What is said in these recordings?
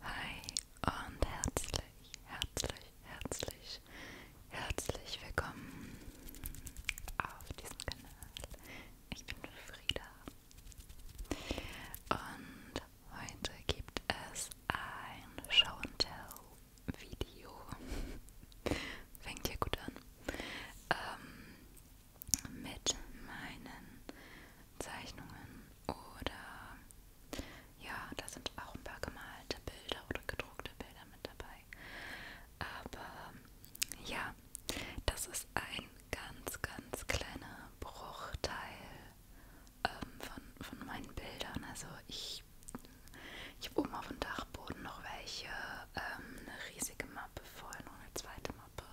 Hi und herzlich, herzlich, herzlich, herzlich willkommen auf diesem Kanal. Ich bin Frieda und heute gibt es ein Show and Tell Video. Fängt hier gut an. Ähm, mit meinen Zeichnungen oder ja, da sind auch ein paar gemalte Bilder oder gedruckte Bilder mit dabei. Aber ja, das ist ein ganz, ganz kleiner Bruchteil ähm, von, von meinen Bildern. Also ich, ich habe oben auf dem Dachboden noch welche, ähm, eine riesige Mappe voll, noch eine zweite Mappe.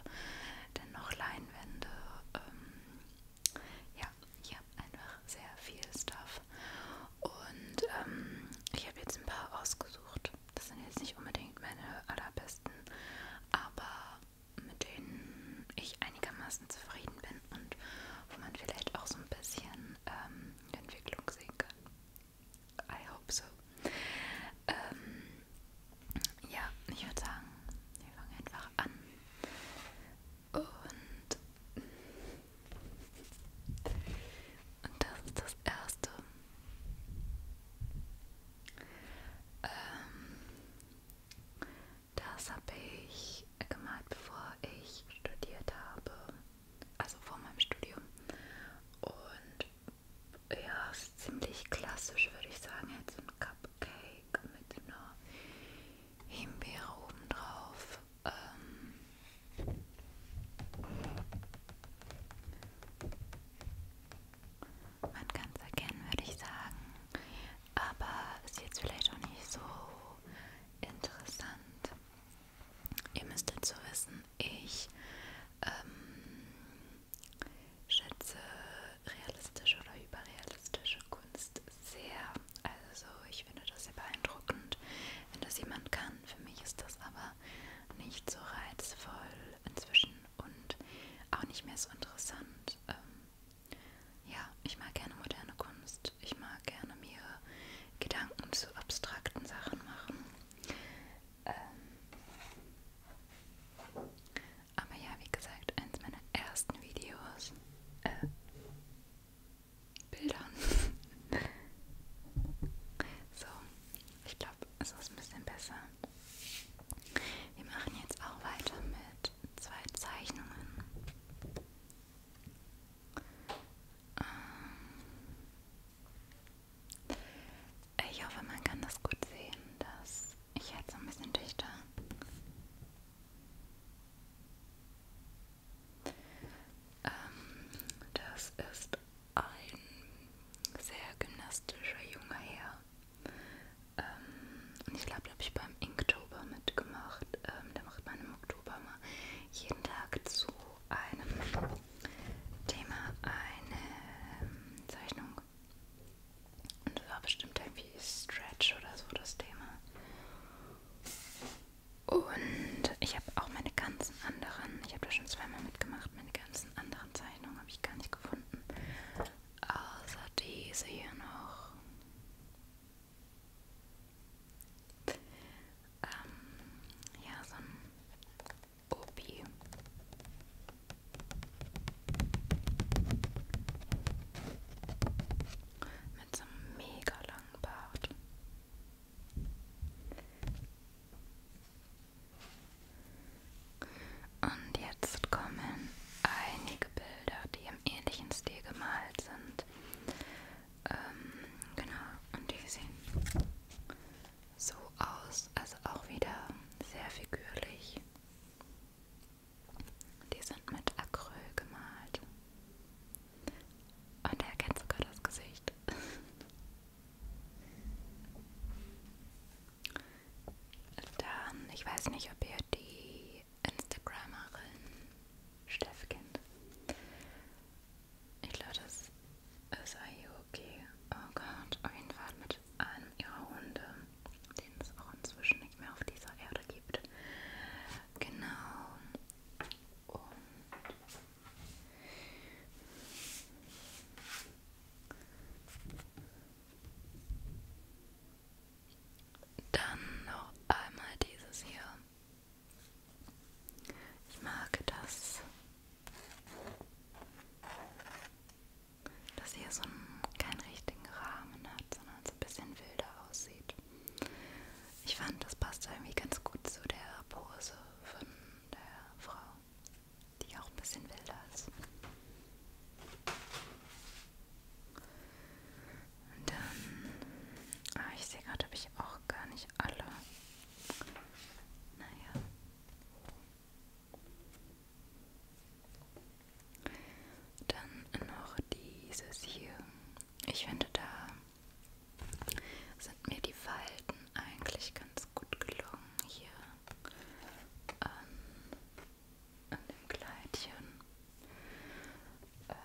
Dann noch Leinwände. Ähm, ja, ich habe einfach sehr viel Stuff. Und ähm, ich habe jetzt ein paar ausgesucht. Das sind jetzt nicht unbedingt meine allerbesten, aber mit denen ich einigermaßen zufrieden bin und wo man vielleicht auch so ein bisschen ähm, Entwicklung sehen kann. I hope so. Ähm, ja, ich würde sagen, wir fangen einfach an. Und, und das ist das Erste. Ähm, das habe ich gemalt, bevor ich studiert habe, also vor meinem Studium. Und ja, ist ziemlich klassisch, würde ich sagen. Jetzt ein Cupcake mit einer Himbeere obendrauf. Ähm Man kann es erkennen, würde ich sagen. Aber ist jetzt vielleicht auch nicht so interessant. Ihr müsst dazu wissen, ich ähm, schätze realistische oder überrealistische Kunst sehr. Also ich finde das sehr beeindruckend, wenn das jemand kann. Für mich ist das aber nicht so reizvoll inzwischen und auch nicht mehr so interessant. Ähm, ja, ich mag gerne moderne Kunst. Ich mag gerne mir Gedanken zu abstrakten Sachen machen. Ähm aber ja, wie gesagt, eins meiner ersten Videos. Äh, Bildern. so, ich glaube, es ist ein bisschen besser. Wir machen jetzt auch weiter mit zwei Zeichnungen. Ähm, ich hoffe, man kann das gut sehen, dass ich jetzt so ein bisschen dichter ähm, das ist ein sehr gymnastischer junger Herr. Ähm, und ich glaube, da habe ich beim Inktober mitgemacht. Ähm, da macht man im Oktober mal jeden Tag zu einem Thema eine ähm, Zeichnung. Und das war bestimmt irgendwie Stretch oder so das Thema. Und ich habe auch meine ganzen anderen, ich habe da schon zweimal mitgemacht, meine ganzen anderen Zeichnungen habe ich gar nicht gefunden. Außer diese hier noch. Ähm, ja, so ein Opi. Mit so einem mega langen Bart. Und jetzt kommen einige Bilder, die im ähnlichen Stil gemalt sind. Ähm, genau, und die sehen so aus, also auch wieder sehr figürlich. Die sind mit Acryl gemalt. Und er erkennt sogar das Gesicht. Dann, ich weiß nicht, ob ihr die Instagramerin Steff kennt. Ich glaube, das ist Ayo okay. Oh Gott, auf jeden Fall mit einem ihrer Hunde, den es auch inzwischen nicht mehr auf dieser Erde gibt. Genau. Und dann noch einmal dieses hier. Ich mag das, dass hier so einen, keinen richtigen Rahmen hat, sondern so ein bisschen wilder aussieht. Ich fand, das passt irgendwie ganz gut zu der Pose von der Frau, die auch ein bisschen wilder ist. Und dann, ah, ich sehe gerade, habe ich auch gar nicht alle naja. Dann noch dieses hier. Ich finde, da sind mir die Falten eigentlich ganz gut gelungen hier an, an dem Kleidchen. Ähm,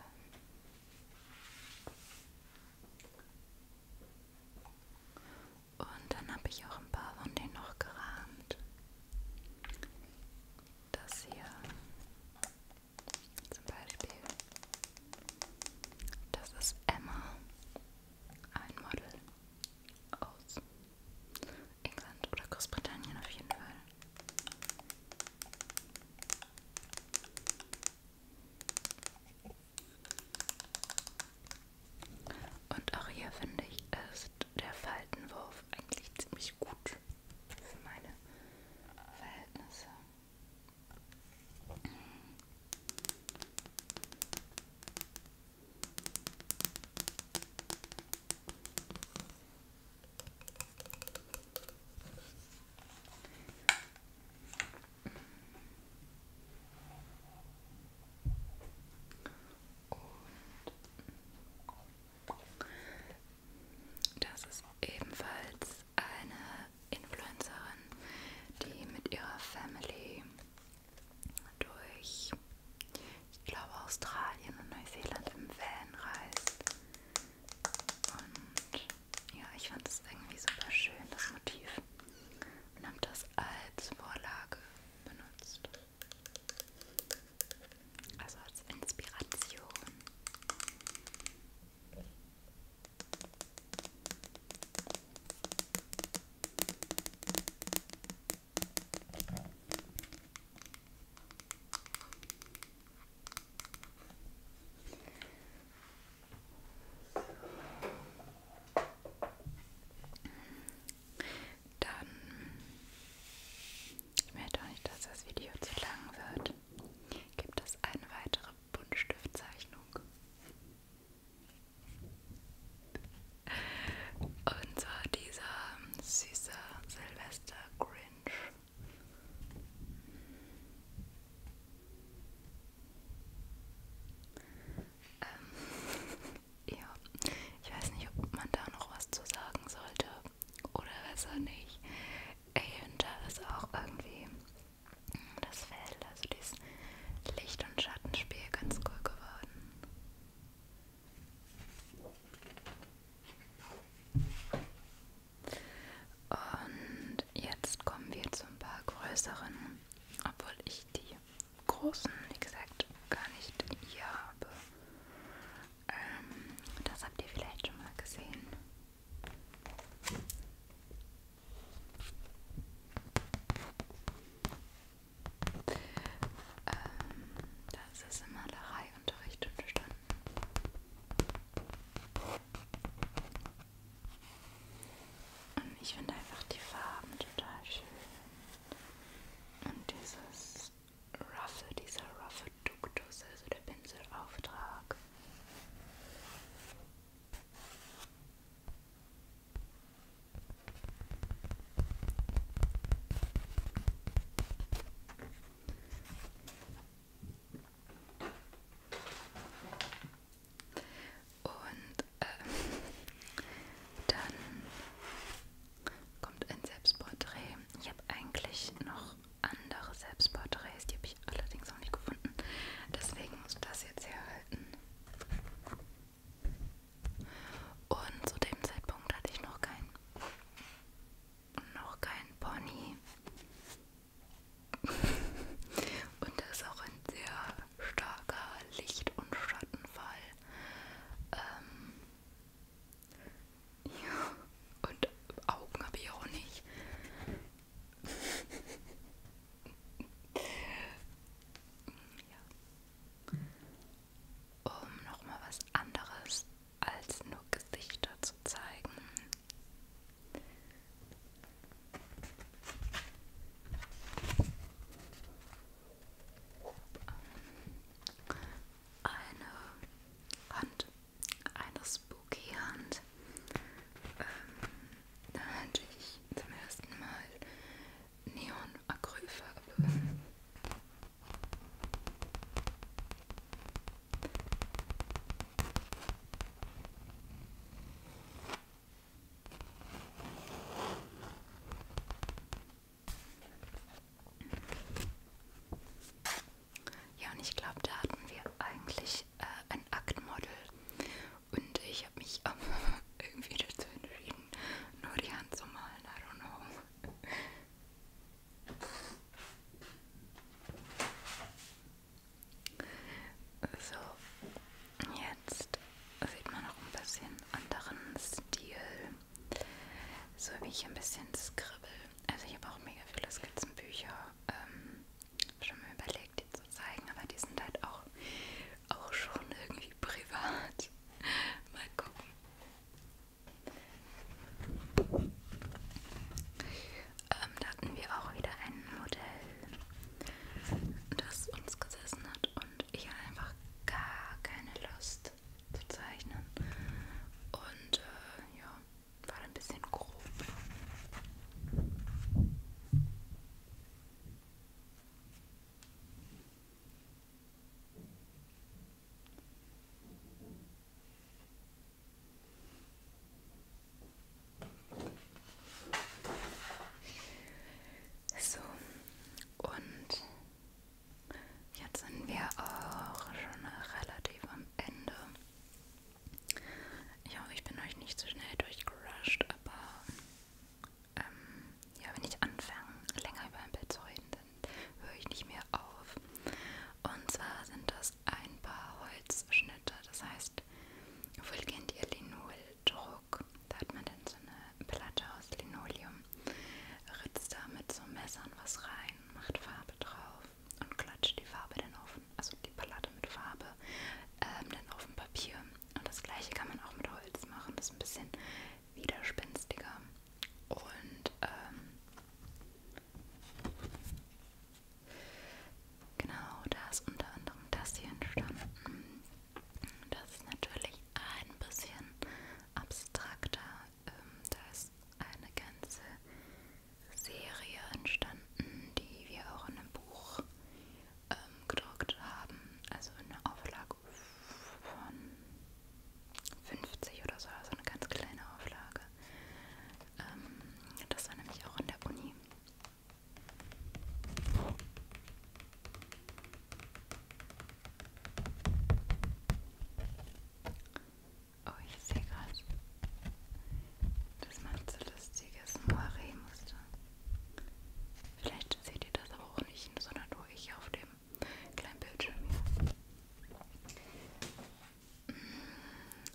und dann habe ich auch ein paar von denen noch gerahmt. Das hier zum Beispiel. Das ist Emma, ein Model aus England oder Großbritannien auf jeden Fall. Und auch hier finde ich, ist der Faltenwurf eigentlich ziemlich gut für meine Verhältnisse. Und das ist ebenfalls eine Influencerin, die mit ihrer Family durch, ich glaube, Australien und Neuseeland im Van reist. Und ja, ich fand es irgendwie super schön, das Motiv. Und habe das als Vorlage benutzt. Also als Inspiration. Dann, ich möchte auch nicht, dass das Video zu lang wird, gibt es eine weitere Buntstiftzeichnung. Und zwar dieser süße Silvester Grinch. Ähm, ja, ich weiß nicht, ob man da noch was zu sagen sollte oder besser nicht. Ich finde das auch irgendwie das Feld, also dieses Licht- und Schattenspiel ganz cool geworden. Und jetzt kommen wir zu ein paar größeren, obwohl ich die großen, wie gesagt, gar nicht hier habe. Ähm, das habt ihr vielleicht schon mal gesehen. Ähm, das ist im Malereiunterricht und stand und ähm, ich finde einfach die Farben total schön. Und dieses Ruffle, dieser Ruffle Ductus, also der Pinselauftrag. Und ähm, dann kommt ein Selbstporträt. Ich habe eigentlich noch andere Selbstporträts, die habe ich allerdings noch nicht gefunden. Deswegen muss das jetzt herhalten. Und zu dem Zeitpunkt hatte ich noch keinen und noch kein Pony. und da ist auch ein sehr starker Licht- und Schattenfall. Ähm ja, und Augen habe ich auch nicht. ja. Um nochmal was anderes als nur Gesichter zu zeigen. Eine Hand, eine spooky Hand. Ähm, da hatte ich zum ersten Mal Neon-Acrylfarbe. Ja, und ich glaube, da hatten wir eigentlich äh, ein Aktmodel. Und ich habe mich ähm, irgendwie dazu entschieden, nur die Hand zu malen. I don't know. So, jetzt sieht man noch ein bisschen anderen Stil, so wie ich ein bisschen skribbel. Also ich habe auch mega viele Skizzenbücher ähm, schon mal überlegt, die zu zeigen, aber die sind halt auch, auch schon irgendwie privat. mal gucken. Ähm, da hatten wir auch wieder ein Modell, das uns gesessen hat und ich hatte einfach gar keine Lust zu zeichnen. Und äh, ja, war ein bisschen grob. So, und jetzt sind wir auch schon relativ am Ende. Ich hoffe, ich bin euch nicht zu so schnell durchgerusht, aber ähm, ja, wenn ich anfange, länger über ein Bild zu reden, dann höre ich nicht mehr auf. Und zwar sind das ein paar Holzschnitte, das heißt, wohl kennt ihr Linoldruck. Da hat man dann so eine Platte aus Linoleum, ritzt da mit so Messern was rein, macht Farbe drauf und klatscht die Farbe dann auf, also die Platte mit Farbe, ähm, dann auf dem Papier. Und das gleiche kann man auch mit Holz machen, das ist ein bisschen widerspinstiger. Und ähm, genau, da ist unter anderem das hier entstanden. Das ist natürlich ein bisschen abstrakter. Ähm, da ist eine ganze Serie entstanden, die wir auch in einem Buch ähm, gedruckt haben, also in der Auflage von 50 oder so, also eine ganz kleine Auflage. Ähm, das war nämlich auch in der Uni. Oh, ich sehe gerade, dass man so lustiges Moiré musste. Vielleicht seht ihr das auch nicht, sondern nur ich auf dem kleinen Bildschirm hier. Mhm.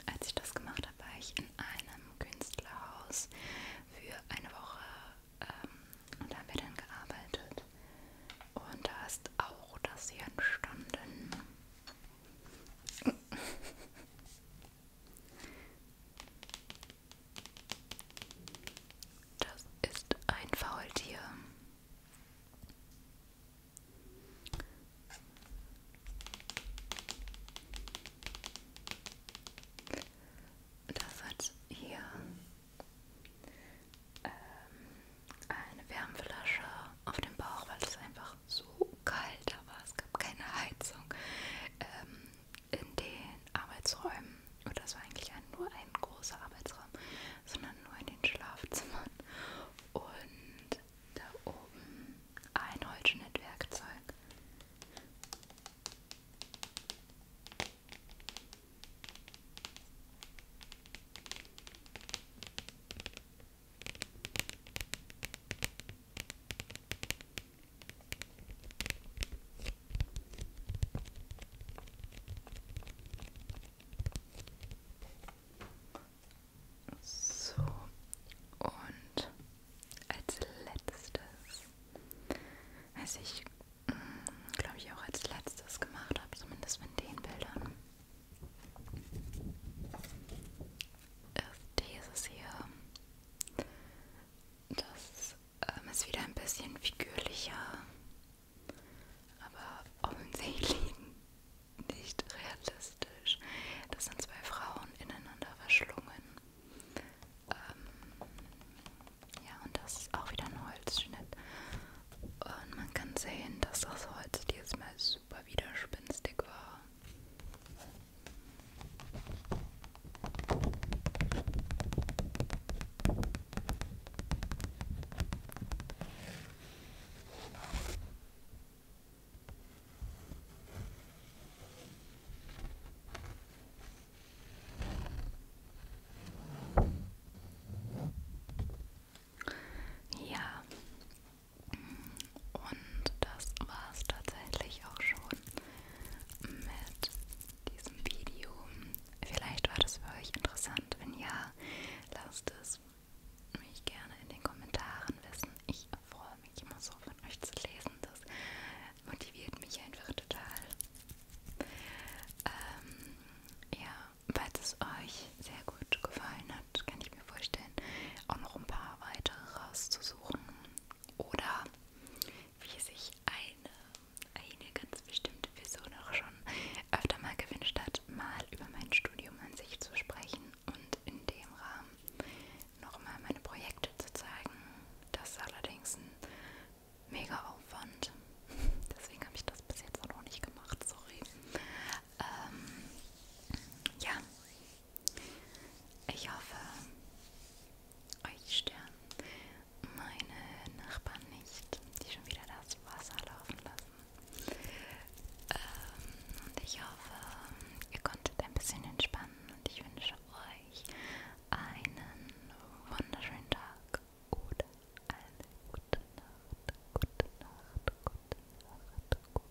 Als ich das gemacht habe, war ich in einem Künstlerhaus für eine Woche ähm, und da haben wir dann gearbeitet. Und da ist auch das hier entstanden. Das ist ein Faultier. Das hat hier ähm, eine Wärmflasche auf dem Bauch, weil es einfach so kalt da war. Es gab keine Heizung ähm, in den Arbeitsräumen oder oh, es war eigentlich ein, nur ein großer Arbeitsraum, sondern nur in den Schlafzimmern und da oben ein Holzschnittwerkzeug. So, und als letztes, was ich mm, glaube ich auch als letztes gemacht habe, zumindest mit den Bildern, ist dieses hier. Das ähm, ist wieder ein bisschen figürlicher aber offensichtlich nicht realistisch. Das sind zwei Frauen ineinander verschlungen. Ähm, ja, und das ist auch wieder ein Holzschnitt. Und man kann sehen, dass das Holz diesmal super widerspenstig war. Ja, und das war es tatsächlich auch schon mit diesem Video. Vielleicht war das für euch interessant. Wenn ja, lasst es mich gerne in den Kommentaren wissen. Ich freue mich immer so von euch zu lesen. Das motiviert mich einfach total. Ähm, ja, falls es euch sehr gut gefallen hat, kann ich mir vorstellen, auch noch ein paar weitere rauszusuchen. Oder wie sich eine eine ganz bestimmte Person auch schon öfter mal gewünscht hat, mal über mein Studium an sich zu sprechen und in dem Rahmen nochmal meine Projekte zu zeigen. Das ist allerdings ein mega Aufwand. Deswegen habe ich das bis jetzt auch noch nicht gemacht, sorry. Ähm, ja, ich hoffe, euch Stern meine Nachbarn nicht, die schon wieder das Wasser laufen lassen. Ähm, und ich hoffe, ihr konntet ein bisschen entspannen und ich wünsche euch einen wunderschönen Tag oder eine gute Nacht, gute Nacht, gute Nacht, gute Nacht.